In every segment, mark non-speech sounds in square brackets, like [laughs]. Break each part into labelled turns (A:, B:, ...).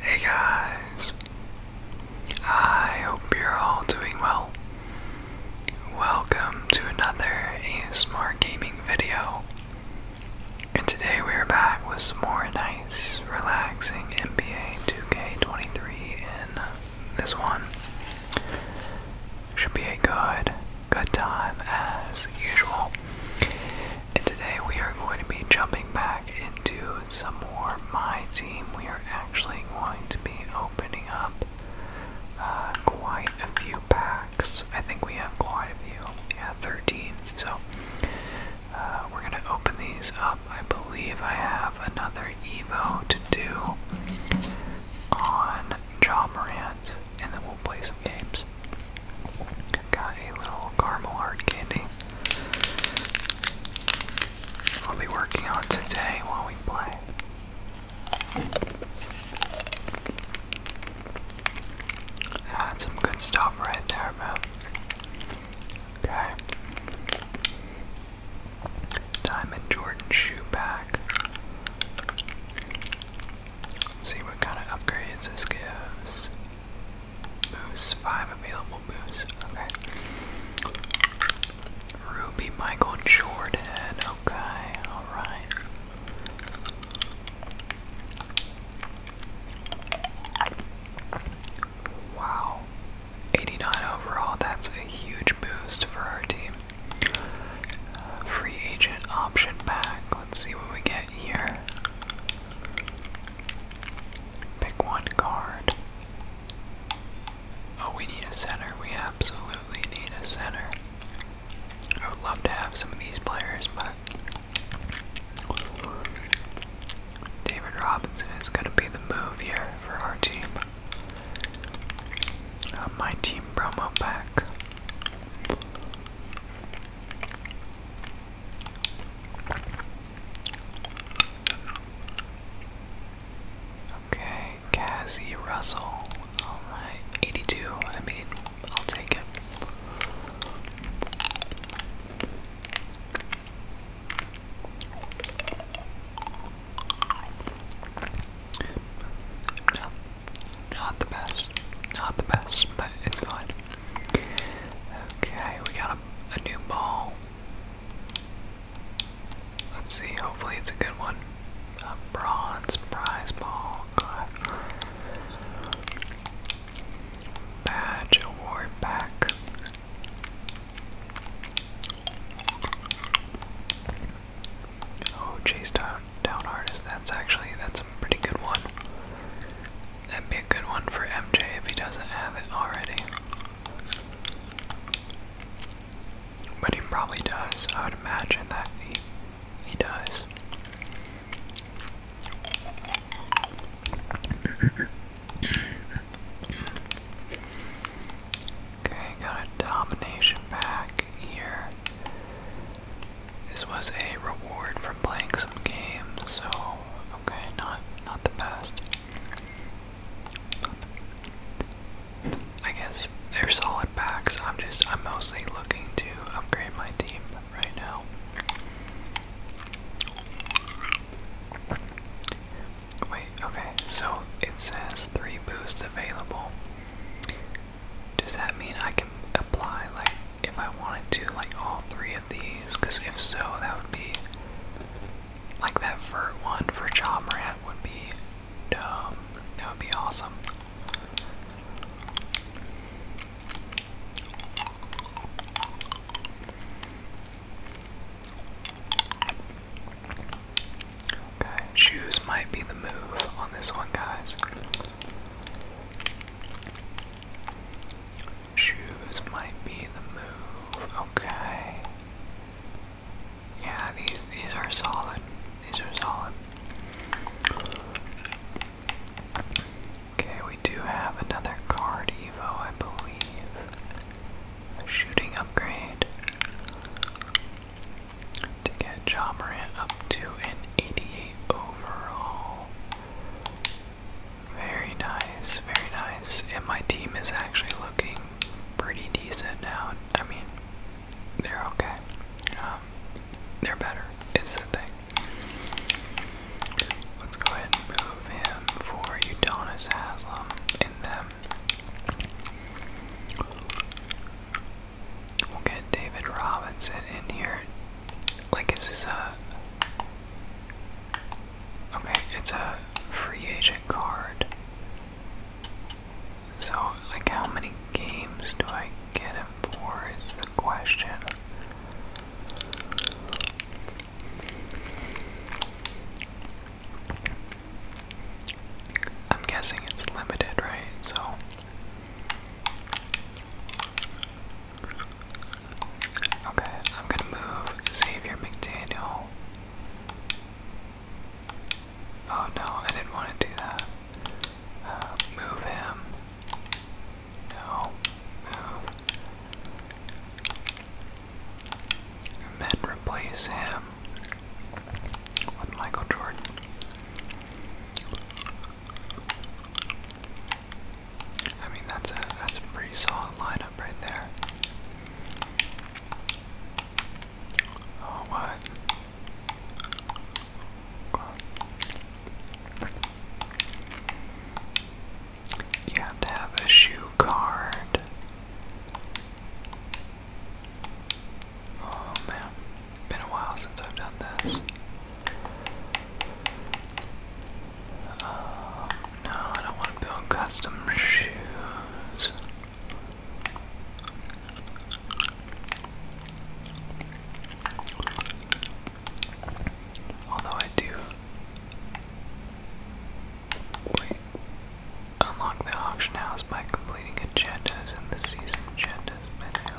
A: Hey guys, I hope you're all doing well. Welcome to another A Smart gaming video. And today we are back with some more nice, relaxing NBA 2K23 in this one. Should be a good, good time as usual. And today we are going to be jumping back into some more My Team. We are actually going to be opening up uh, quite a few packs. I think we have quite a few. Yeah, 13. So uh, we're going to open these up. I believe I have another Evo to do on Ja Morant, and then we'll play some games. Got a little caramel heart candy. I'll be working on today while we play. That's some good stuff right there, man. Okay. Diamond Jordan shoe pack. see what kind of upgrades this gives. Boost, five available boosts. Okay. Ruby Michael Jordan. Okay, alright. Wow. 89 overall, that's a huge boost for our team free agent option back. Let's see what we get here. Pick one card. Oh, we need a center. We absolutely need a center. I would love to have some of these players, but David Robinson is going to be the move here for our team. Uh, my team promo back. Okay, Cassie Russell. Alright, 82. I mean, I'll take it. Not, not the best. Not the best, but it's fine. Okay, we got a new ball. Let's see, hopefully it's a good one. A bronze prize ball. God. Badge award back. Oh, chase down, down artist. That's actually that's a pretty good one. That'd be a good one for MJ if he doesn't have it already. But he probably does. I would imagine that he he does. Okay, got a domination back here. This was a reward from playing some games, so okay, not not the best. I guess they're solid backs. I'm just I'm mostly looking to upgrade my team right now. Wait, okay, so it says three boosts available. Does that mean I can apply, like, if I wanted to, like, all three of these? Because if so, that would be. Like, that vert one for Chomrat would be dumb. That would be awesome shoes might be the move on this one, guys. Shoes might be the move. Okay. Yeah, these these are solid. These are solid. Okay, we do have another card, Evo, I believe shooting upgrade to get John up to an 88 overall. Very nice, very nice. And my team is actually looking pretty decent now. I mean, they're okay. Um, they're better, It's the thing. Let's go ahead and move him for Udonis Haslam and them We'll get David Robinson in here. Like, is this a. Okay, it's a free agent card. So, like, how many games do I get him for? Is the question. I'm guessing it's limited, right? So Okay, I'm gonna move Xavier McDaniel. Oh no, I didn't want to do that. Uh, move him. No, move and then replace him with Michael Jordan. I mean that's a that's a pretty solid lineup right there. Oh what? You have to have a shoe card Oh man, been a while since I've done this. Uh, no, I don't want to build custom shoes. Although I do. Wait. Unlock the auction house by completing agendas in the season agendas menu.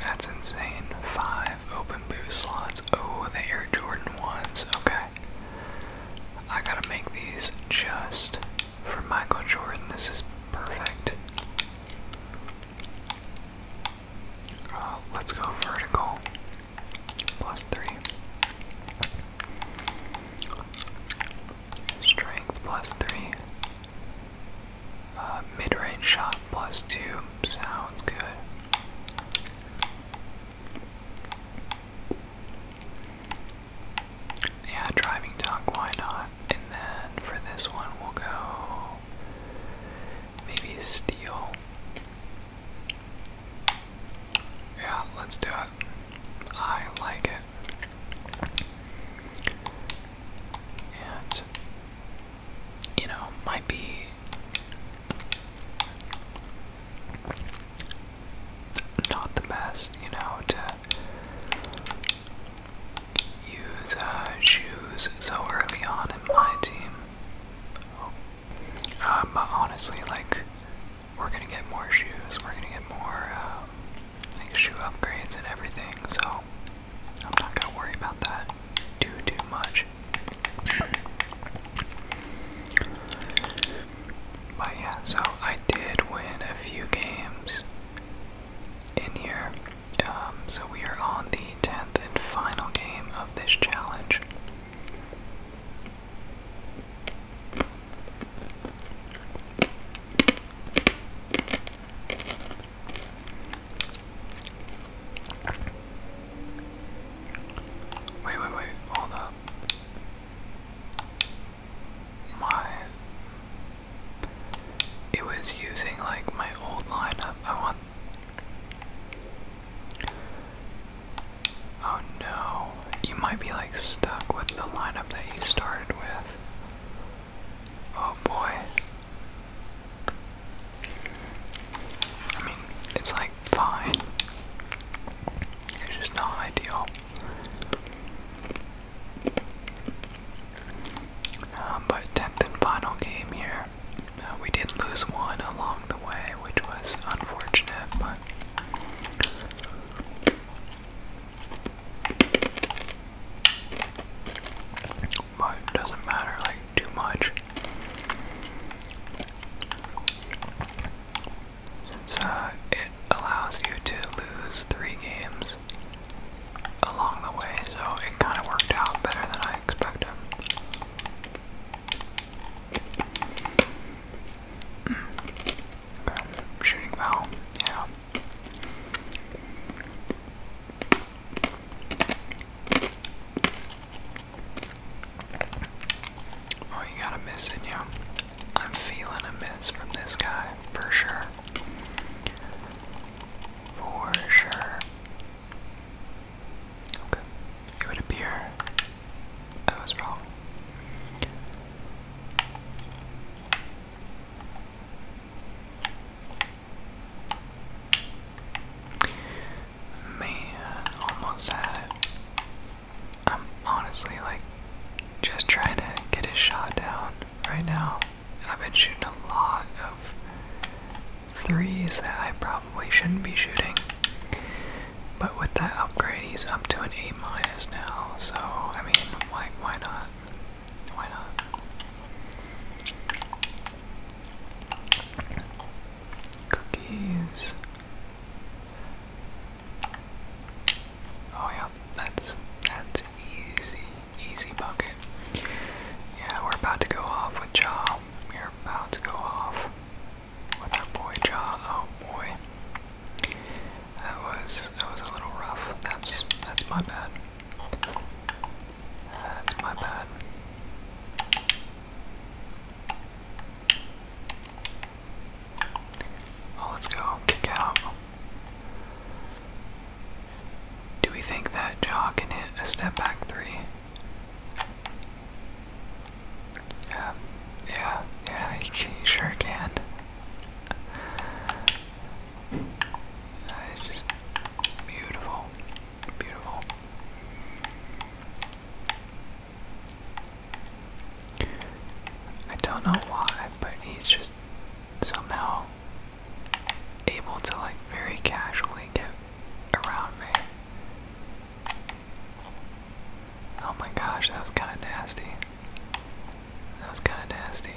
A: That's insane. Five open open slots. Oh, the Air Jordan ones. Okay. I gotta make these just for Michael Jordan. This is perfect. Uh, let's go vertical. Plus three. Strength plus three. Uh, Mid range shot plus two. Boom, sounds good. Yeah, driving dog, why not? And then for this one, we'll go maybe steel. Yeah, let's do it. I like it. And you know, might be not the best, you know, to use uh, shoes so early on in my team. Oh. honestly, like, we're gonna get more shoes, we're gonna get more, uh, like, shoe upgrades and everything, so I'm not gonna worry about that too too much. but yeah, so I did win a few games in here. Um, so we are on the tenth and final game of this challenge. Wait, wait, wait, hold up. My. It was using like my old lineup. I want. Oh no. You might be like stuck with the lineup that you started with. Oh boy. I mean, it's like fine. It's just not ideal. Um, but 10th and final game here. Uh, we did lose one along the way, which was unfortunate, but. doesn't matter like too much. Since uh, it allows you to lose three games along the way, so it kind of worked out better than I expected. Hmm. Shooting foul, yeah. Oh, you got a miss you. I'm feeling a miss from this guy, for sure. For sure. Okay. It would appear I was wrong. Man, almost had it. I'm honestly like just trying to get his shot down right now. And I've been shooting a lot of threes that I probably shouldn't be shooting. But with that upgrade, he's up to an A minus now. So I mean, like, why not? Why not? Cookies. Oh yeah, that's that's easy, easy bucket. Yeah, we're about to go off with Jaw. We're about to go off with that boy Jaw. Oh boy, that was that was a little rough. That's that's my bad. That's my bad. Oh, let's go. Kick out. Do we think that Jaw can hit a step back three? Yeah, yeah, yeah, he, sure can. That is just beautiful, beautiful. I don't know why, but he's just somehow able to like very casually get around me. Oh my gosh, that was kind of nasty. That was kind of nasty.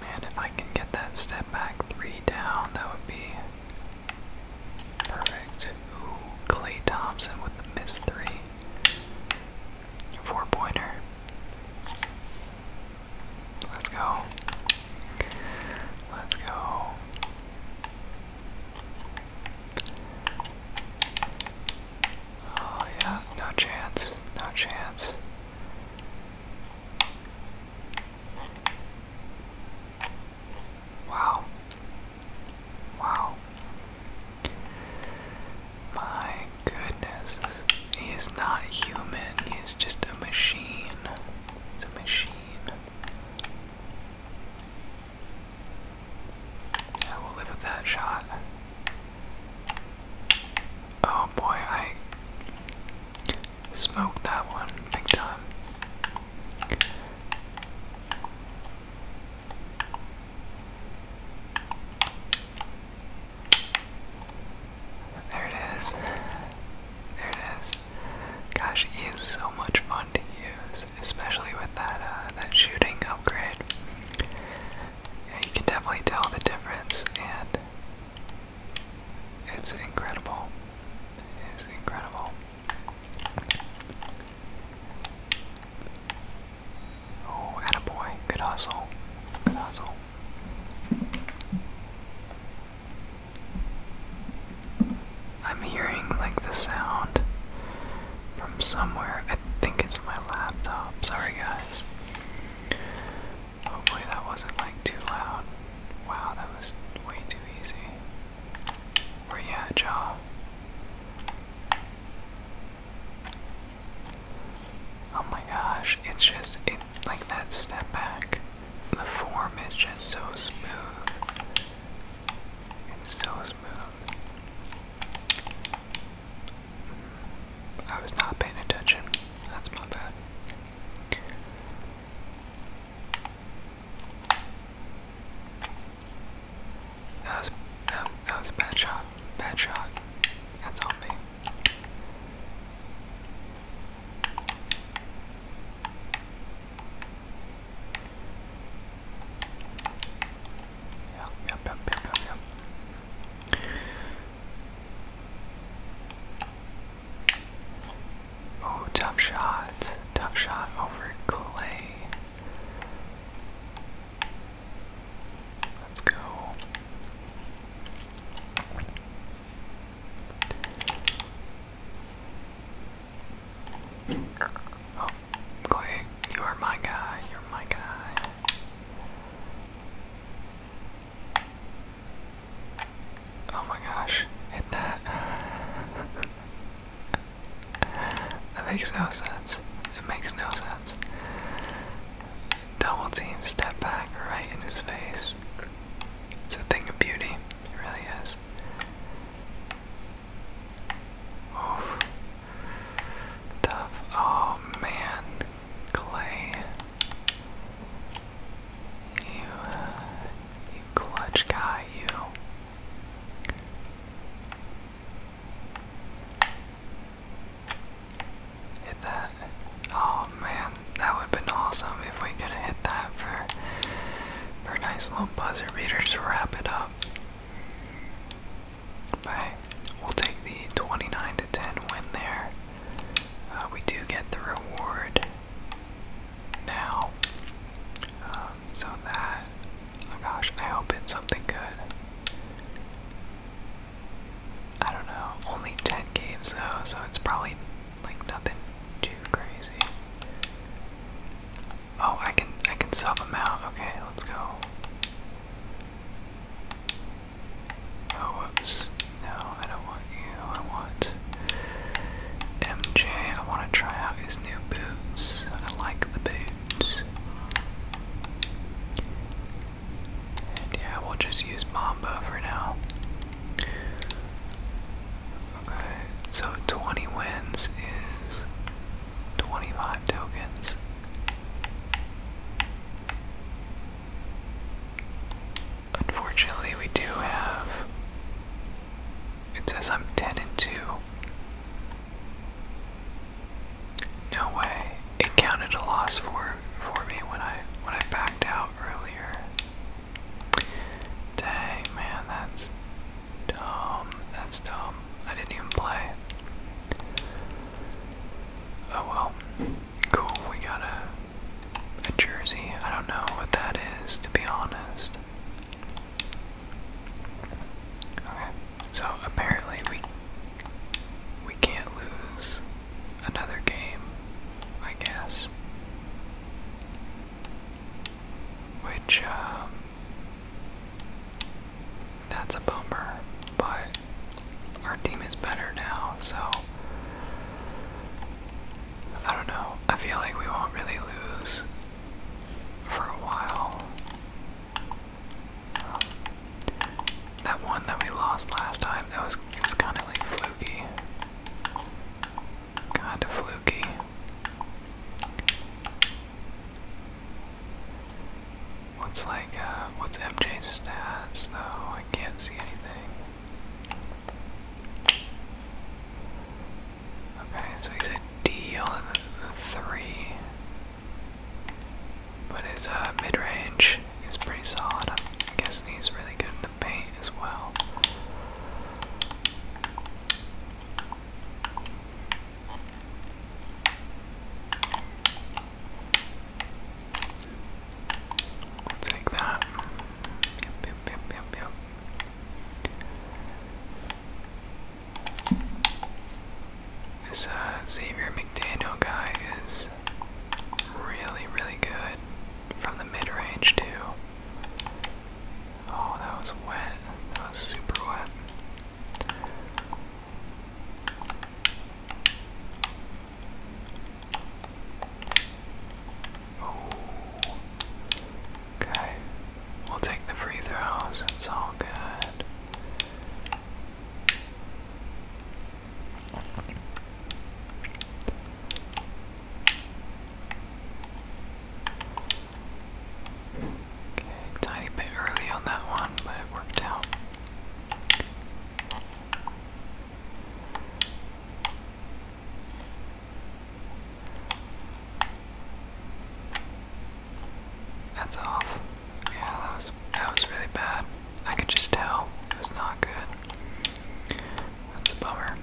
A: Man, if I can get that step back three down, that would be perfect. Ooh, Clay Thompson with the miss three. Four pointer. Let's go. Let's go. Oh yeah, no chance, no chance. Wow. Wow. My goodness. He is not human. He is just a machine. It's a machine. I will live with that shot. Oh boy, I smoked that one big time. There it is. There it is. Gosh, he so much fun to use, especially with that uh, that shooting upgrade yeah, you can definitely tell the difference, and it's incredible. It is incredible. Oh, attaboy. Good hustle. Good hustle. I'm hearing like the sound from somewhere. I think it's my laptop. Sorry, guys. Hopefully, that wasn't like too loud. Wow, that was way too easy. Or, yeah, jaw. Oh my gosh, it's just it like that step back. The form is just so smooth. It's so smooth. I was not paying attention. That's my bad. That was that, that was a bad shot. Bad shot. That's on me. Yep, yep, yep, yep, yep, Oh, tough shot. Tough shot over Clay. Let's go. Oh, Clay, you are my guy, you're my guy. Oh my gosh, hit that. [laughs] that makes no sense. It makes no sense. Double team step back right in his face. It's a thing of beauty, it really is. Oof. Tough. Oh man, Clay. You, you clutch guy, you. Hit that. Oh man, that would have been awesome if we could have hit that for, for a nice little buzzer beater to wrap it up. But we'll take the 29 to 10 win there. Uh, we do get the reward now. Um, so that, oh gosh, I hope it's something good. I don't know, only 10 games though, so it's probably like nothing too crazy. Oh, I can I can sub him out. Okay, let's go. Oh, whoops. No, I don't want you. I want MJ. I want to try out his new boots. I like the boots. And yeah, we'll just use Mamba for now. Okay, so 20 wins is 25 tokens. Unfortunately, we do have. It says I'm 10 and 2. No way. It counted a loss for for me when I when I backed out earlier. Dang man, that's Dumb. That's dumb. I didn't even play. Oh well. Cool. We got a a jersey. I don't know what that is, to be honest. Okay. So apparently we we can't lose another game, I guess which um, that's a bummer, but our team is better now, so I don't know. I feel like we won't really lose for a while. that one that we lost last time, that was it was kind of like fluky, kind of fluky. What's like, uh, what's MJ's stats though? I can't see anything. Okay, so he's a D on three. But his uh, mid range is pretty solid. I'm guessing he's really good in the paint as well take that. This uh, Xavier McDaniel guy is really, really good from the mid range, too. Oh, that was wet. That was super wet. Okay. We'll take the free throws. It's all good. Okay, tiny bit early on that one, but it worked out. That's off. Yeah, that was that was really bad. I could just tell it was not good. That's a bummer.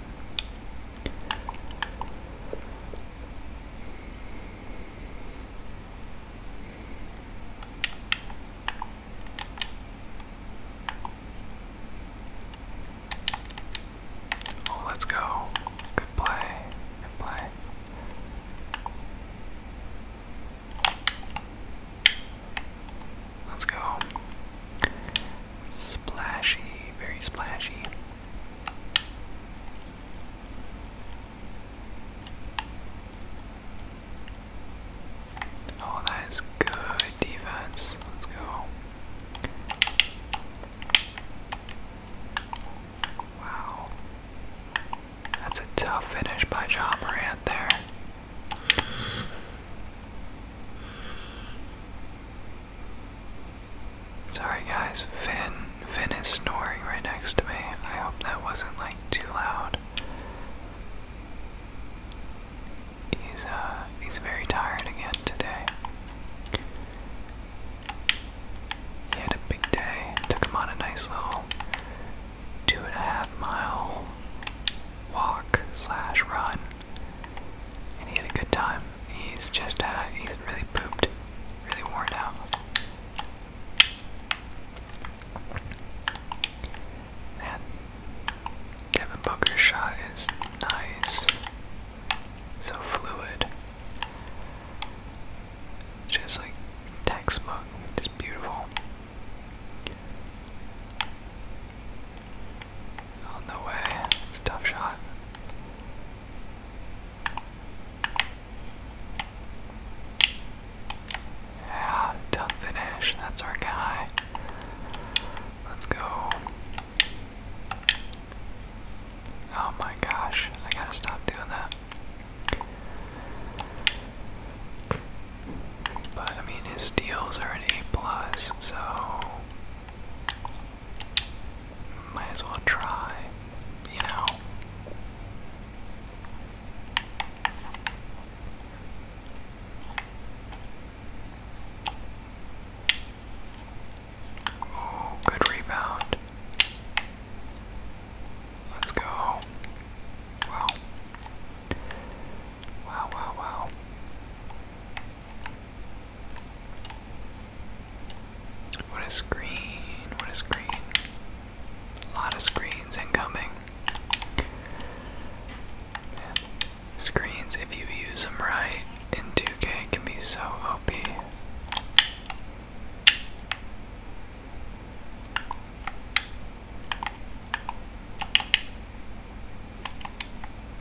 A: Oh, let's go. Good play. play. Let's go. Splashy, very splashy. Oh, that is good defense. Let's go. Wow. That's a tough finish by John Morant there. Sorry guys, Finn Finn is snoring right next to me. I hope that wasn't like too loud. He's uh he's very tired again today. He had a big day. Took him on a nice little two and a half mile walk slash run. And he had a good time he's just, uh, he's really pooped, really worn out. And Kevin Booker's shot is nice, so fluid. It's just like textbook, just beautiful. On the way, it's tough shot. Yeah, tough finish. That's our guy. Let's go. Oh my gosh, I gotta stop doing that. But I mean, his steals are an A plus, so might as well try, you know. Oh, good rebound. Let's go. Wow. Wow, wow, wow. What a screen, what a screen. lot of screens incoming. Yeah. Screens, if you use them right in 2K, can be so OP.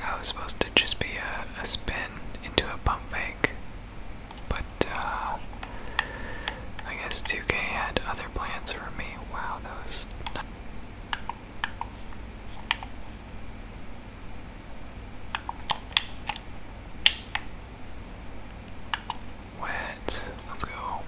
A: That was supposed to just be a, spin into a bump fake. But, uh, I guess 2K had other plans for me. Wow, that was. Not Wet. Let's go.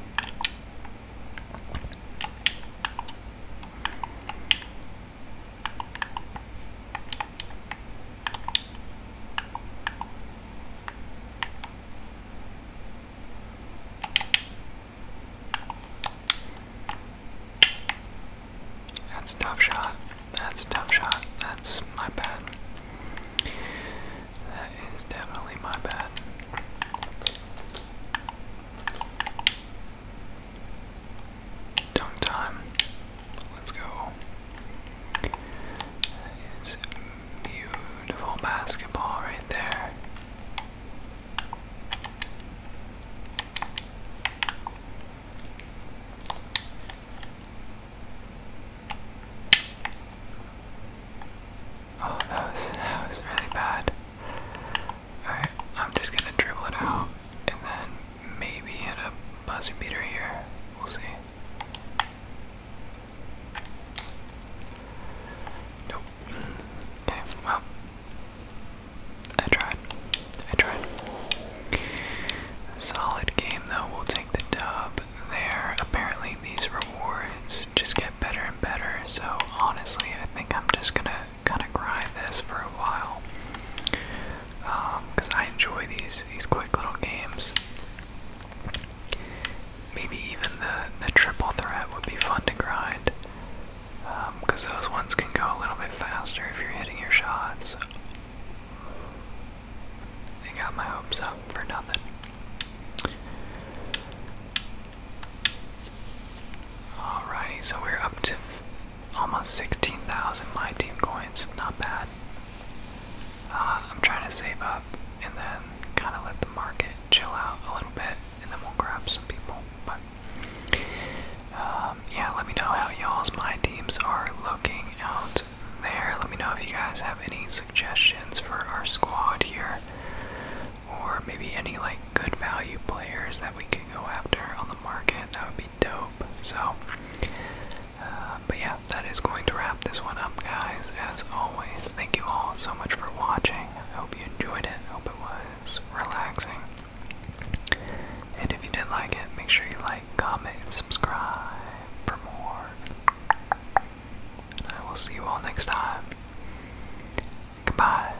A: That's a tough shot. That's a tough shot. That's my bad. That is definitely my bad. Dunk time. Let's go. beautiful basketball right there. Oh, that was that was really bad. Alright, I'm just gonna dribble it out and then maybe hit a buzzer beater here. We'll see. Nope. Okay, well. I tried. I tried. Solid game though, we'll take the dub there. Apparently these rewards just get better and better, so honestly I think I'm just gonna kind of grind this for a while because um, I enjoy these these quick little games. Maybe even the the triple threat would be fun to grind because um, those ones can go a little bit faster if you're hitting your shots. I got my hopes up for nothing. Alrighty, so we're up to almost 16,000 my team coins. Not bad. Uh, I'm trying to save up and then kind of let the market chill out a little bit, and then we'll grab some people. But um, yeah, let me know how y'all's my teams are looking out there. Let me know if you guys have any suggestions for our squad here, or maybe any like good value players that we can go after on the market. That would be dope. So, uh, but yeah, that is going to wrap this one up, guys. As always, thank you all so much for watching. I hope you enjoyed it. I hope it was relaxing. And if you did like it, make sure you like, comment, subscribe for more. And I will see you all next time. Goodbye.